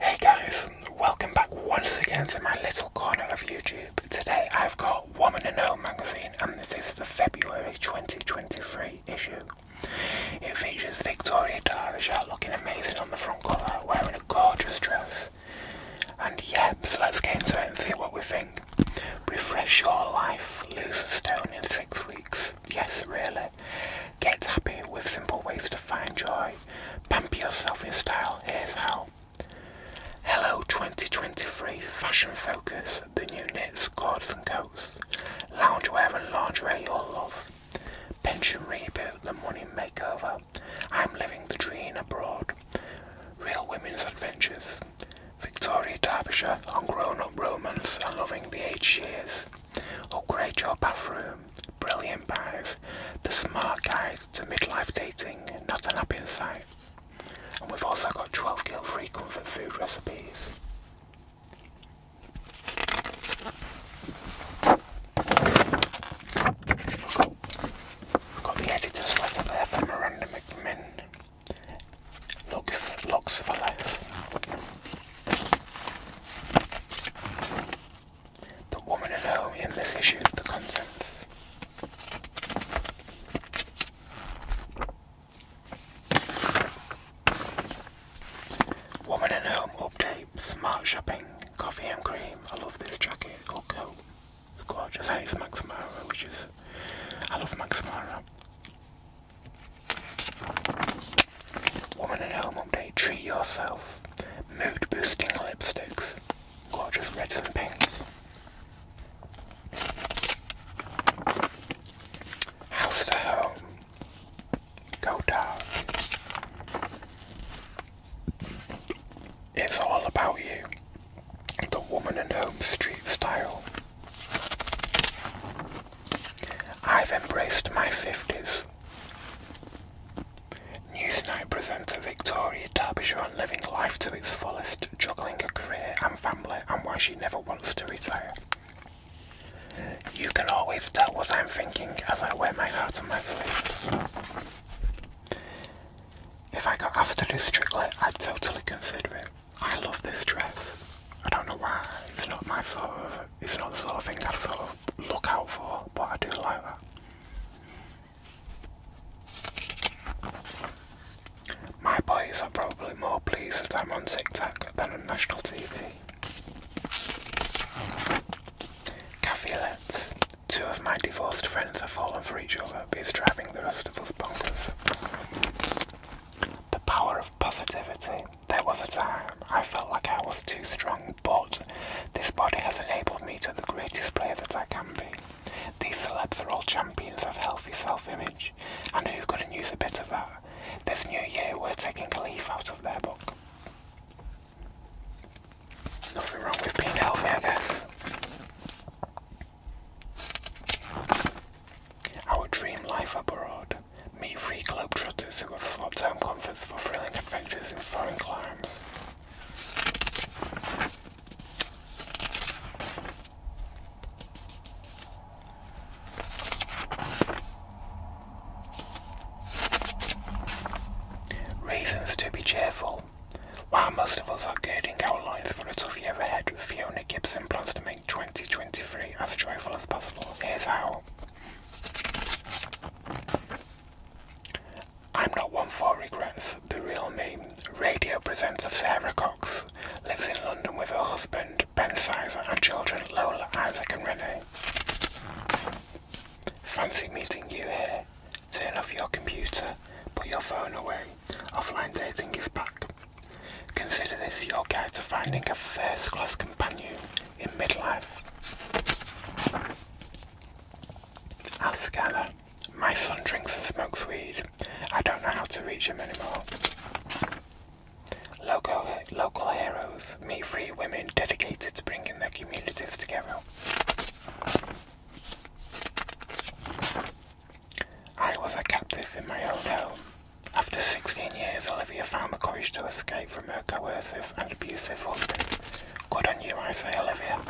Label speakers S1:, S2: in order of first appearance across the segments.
S1: Hey guys, welcome back once again to my little corner of YouTube. Today I've got Woman and Home magazine and this is the February 2023 issue. It features Victoria out looking amazing on the front cover, wearing a gorgeous dress. And yep, let's get into it and see what we think. Refresh your life. Lose a stone in six weeks. Yes, really. Get happy with simple ways to find joy. Pamper yourself in style. Here's how. Hello 2023 Fashion Focus, the new knits, cords and coats, wear and lingerie you'll love, pension reboot, the money makeover, I'm living the dream abroad, real women's adventures, Victoria Derbyshire on Grown Up Romance and Loving the age Years. Upgrade oh, Your Bathroom, Brilliant Buys, The Smart Guide to Midlife Dating, Not an Happy Sight. And we've also got 12 guilt free comfort food recipes. got the editor's letter from Miranda McMinn. Look for looks for life. The woman and home in this issue, the content. Woman and home update, smart shopping, coffee and cream. I love this jacket or coat gorgeous. And it's Max which is I love Max Mara. Woman at home update. Treat yourself. Mood boosting lipsticks. Gorgeous reds and pinks. House to home. Go dark. It's all about you the woman in Home Street style. I've embraced my 50s. Newsnight presents a Victoria Derbyshire on living life to its fullest, juggling a career and family and why she never wants to retire. You can always tell what I'm thinking as I wear my heart on my sleeve. If I got asked to do Strictly, I'd totally consider it. I love this dress. I don't know why. It's not my sort of. It's not the sort of thing I sort of look out for, but I do like that. My boys are probably more pleased if I'm on TikTok than on national TV. Caveat: Two of my divorced friends have fallen for each other, but it's driving the rest of us bonkers. The power of positivity. There was a time I felt like I was too strong, but this body has enabled me to the greatest player that I can be. These celebs are all champions of healthy self-image, and who couldn't use a bit of that? This new year we're taking a leaf out of their book. Nothing wrong with being healthy, I guess. Our dream life abroad. Meet free globetrotters who have swapped home comforts for thrilling adventures in foreign climes. Reasons to be cheerful. While most of us are girding our loins for a tough year ahead, Fiona Gibson plans to make 2023 as joyful as possible. Here's how. I'm not one for regrets. The real me, radio presenter Sarah Cox, lives in London with her husband Ben Sizer and children Lola, Isaac and Renee. Fancy meeting you here. Turn off your computer, put your phone away, Offline dating is back. Consider this your guide to finding a first class companion in midlife. Ask Anna. My son drinks and smokes weed. I don't know how to reach him anymore. Local, local heroes. Meet free women dedicated to bringing their communities together. I was a captive in my old home. After 16 years, Olivia found the courage to escape from her coercive and abusive husband. Good on you, I say, Olivia.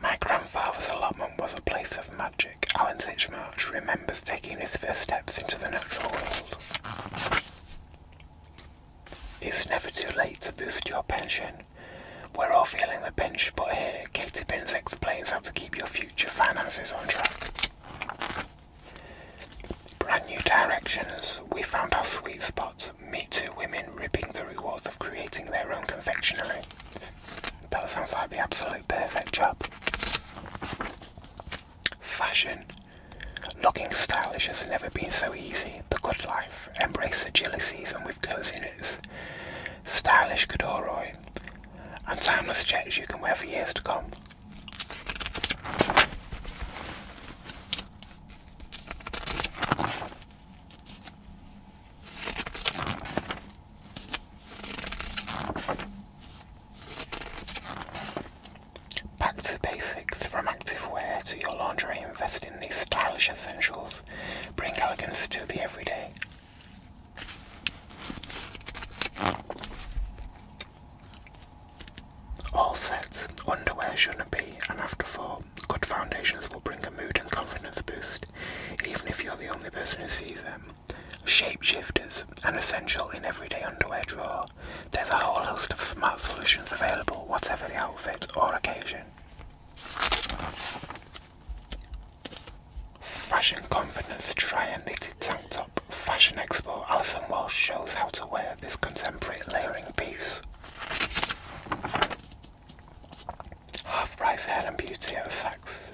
S1: My grandfather's allotment was a place of magic. Alan Sitchmarsh remembers taking his first steps into the natural world. It's never too late to boost your pension. We're all feeling the pinch, but here Katie Pins explains how to keep your future finances on track. Brand new directions. We found our sweet spot. Meet two women ripping the rewards of creating their own confectionery. That sounds like the absolute perfect job. Fashion. Looking stylish has never been so easy. The good life. Embrace the chilly season with goes in stylish corduroy, and timeless checks you can wear for years to come. Back to basics, from activewear to your laundry, invest in these stylish essentials. Bring elegance to the everyday. All sets, underwear shouldn't be an afterthought. Good foundations will bring a mood and confidence boost, even if you're the only person who sees them. Shapeshifters, an essential in everyday underwear drawer. There's a whole host of smart solutions available, whatever the outfit or occasion. Fashion Confidence Dryer Knitted Tank Top Fashion Expo Alison Walsh shows how to wear this contemporary layering piece. Half Price Hair and Beauty and Sex.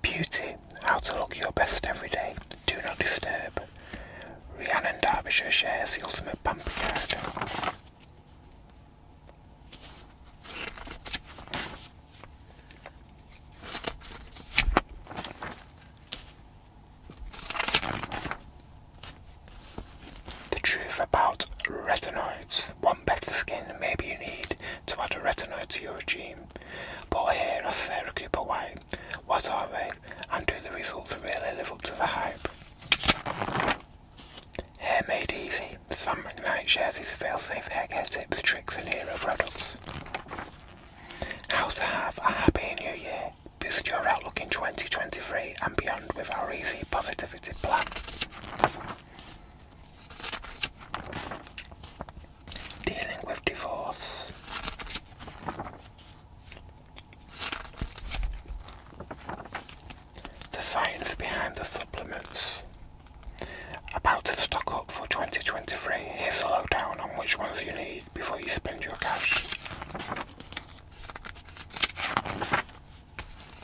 S1: Beauty, how to look your best every day. Do not disturb. Rhiannon Derbyshire shares the ultimate pamper card. The truth about retinoids. One better skin maybe you need to add a retinoid to your regime. But here are Sarah Cooper White. What are they? And do the results really live up to the hype? Hair made easy. Sam McKnight shares his fail-safe hair care tips, tricks and hero products. How to have a happy new year. Boost your outlook in 2023 and beyond with our easy positivity plan. Dealing with divorce. The science behind the supplements. About to stock up for 2023. Here's a lowdown on which ones you need before you spend your cash.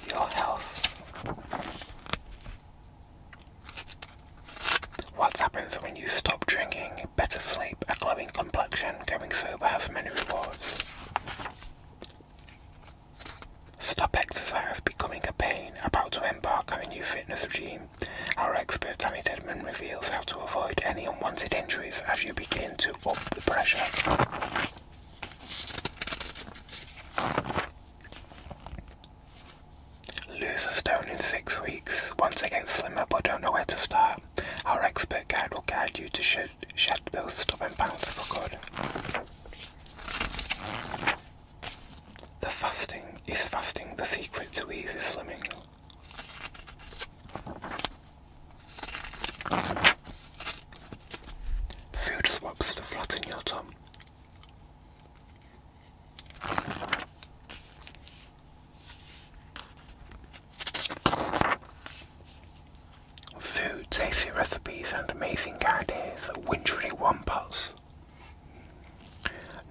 S1: Your health. What happens when you stop drinking? Better sleep, a glowing complexion, going sober has many rewards. Stop exercise becoming a pain. About to embark on a new fitness regime. Our expert Danny Dedman reveals how to avoid any unwanted injuries as you begin to up the pressure. Lose a stone in six weeks. Once again slimmer but don't know where to start. Our expert guide will guide you to shape to shed those stubborn pounds for good. The fasting is fasting the secret to easy slimming. Food swaps to flatten your tongue. Food, tasty recipes and amazing ideas that wintry wampas.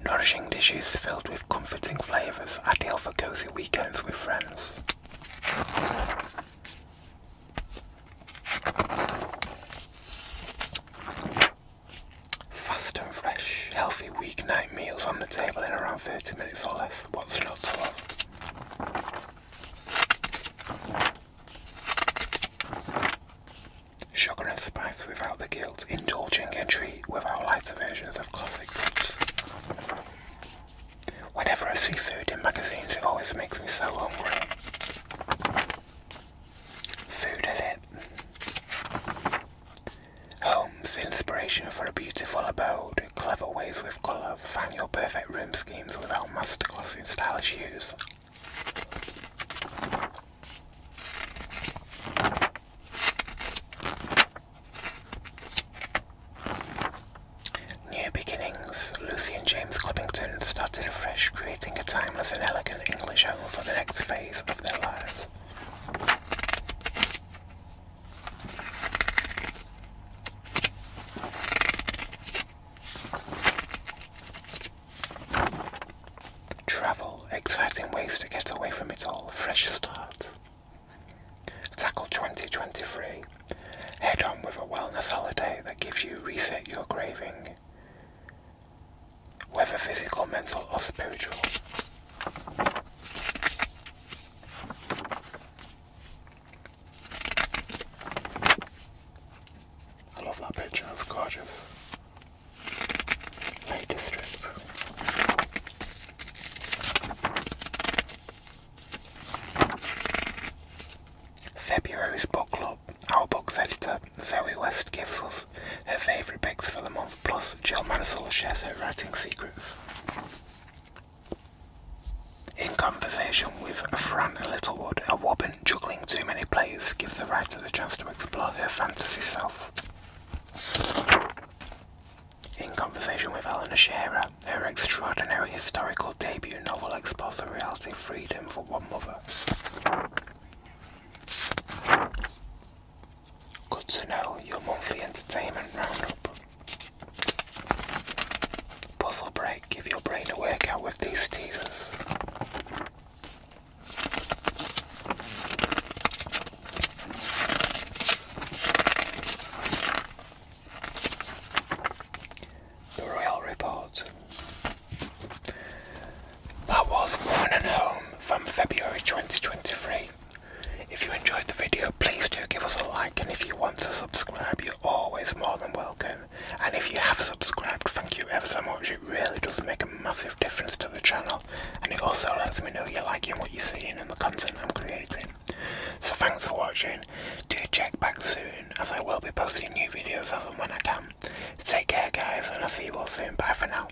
S1: Nourishing dishes filled with comforting flavours, ideal for cozy weekends with friends. Fast and fresh, healthy weeknight meals on the table in around 30 minutes or less. What's not to love? Sugar and spice without the guilt, indulging a treat without light versions of classic foods. Whenever I see food in magazines, it always makes me so hungry. Food is it. Homes, inspiration for a beautiful abode, clever ways with colour, Find your perfect room schemes without masterclass in stylish hues. New beginnings. Lucy and James Clippington started afresh, creating a timeless and elegant English home for the next phase of their lives. Travel, exciting ways to get away from it all, fresh start. Tackle 2023. Head on with a wellness holiday that gives you reset your craving, whether physical, mental, or spiritual. I love that picture, it's gorgeous. Lake District. February's book club. Our books editor, Zoe West, gives us her favourite picks for the month, plus Jill Mansell shares her writing secrets. In conversation with Fran Littlewood, a woman juggling too many plays gives the writer the chance to explore her fantasy self. In conversation with Eleanor Shearer, her extraordinary historical debut novel explores the reality of freedom for one mother. Good to know your monthly entertainment roundup. Puzzle break. Give your brain a workout with these teasers. The Royal Report. That was Warren Home from February 2023. If you enjoyed the video, please do give us a like, and if you want to subscribe, you're always more than welcome. And if you have subscribed, thank you ever so much. It really does make a massive difference to the channel, and it also lets me know you're liking what you're seeing and the content I'm creating. So thanks for watching. Do check back soon, as I will be posting new videos as and when I can. Take care, guys, and I'll see you all soon. Bye for now.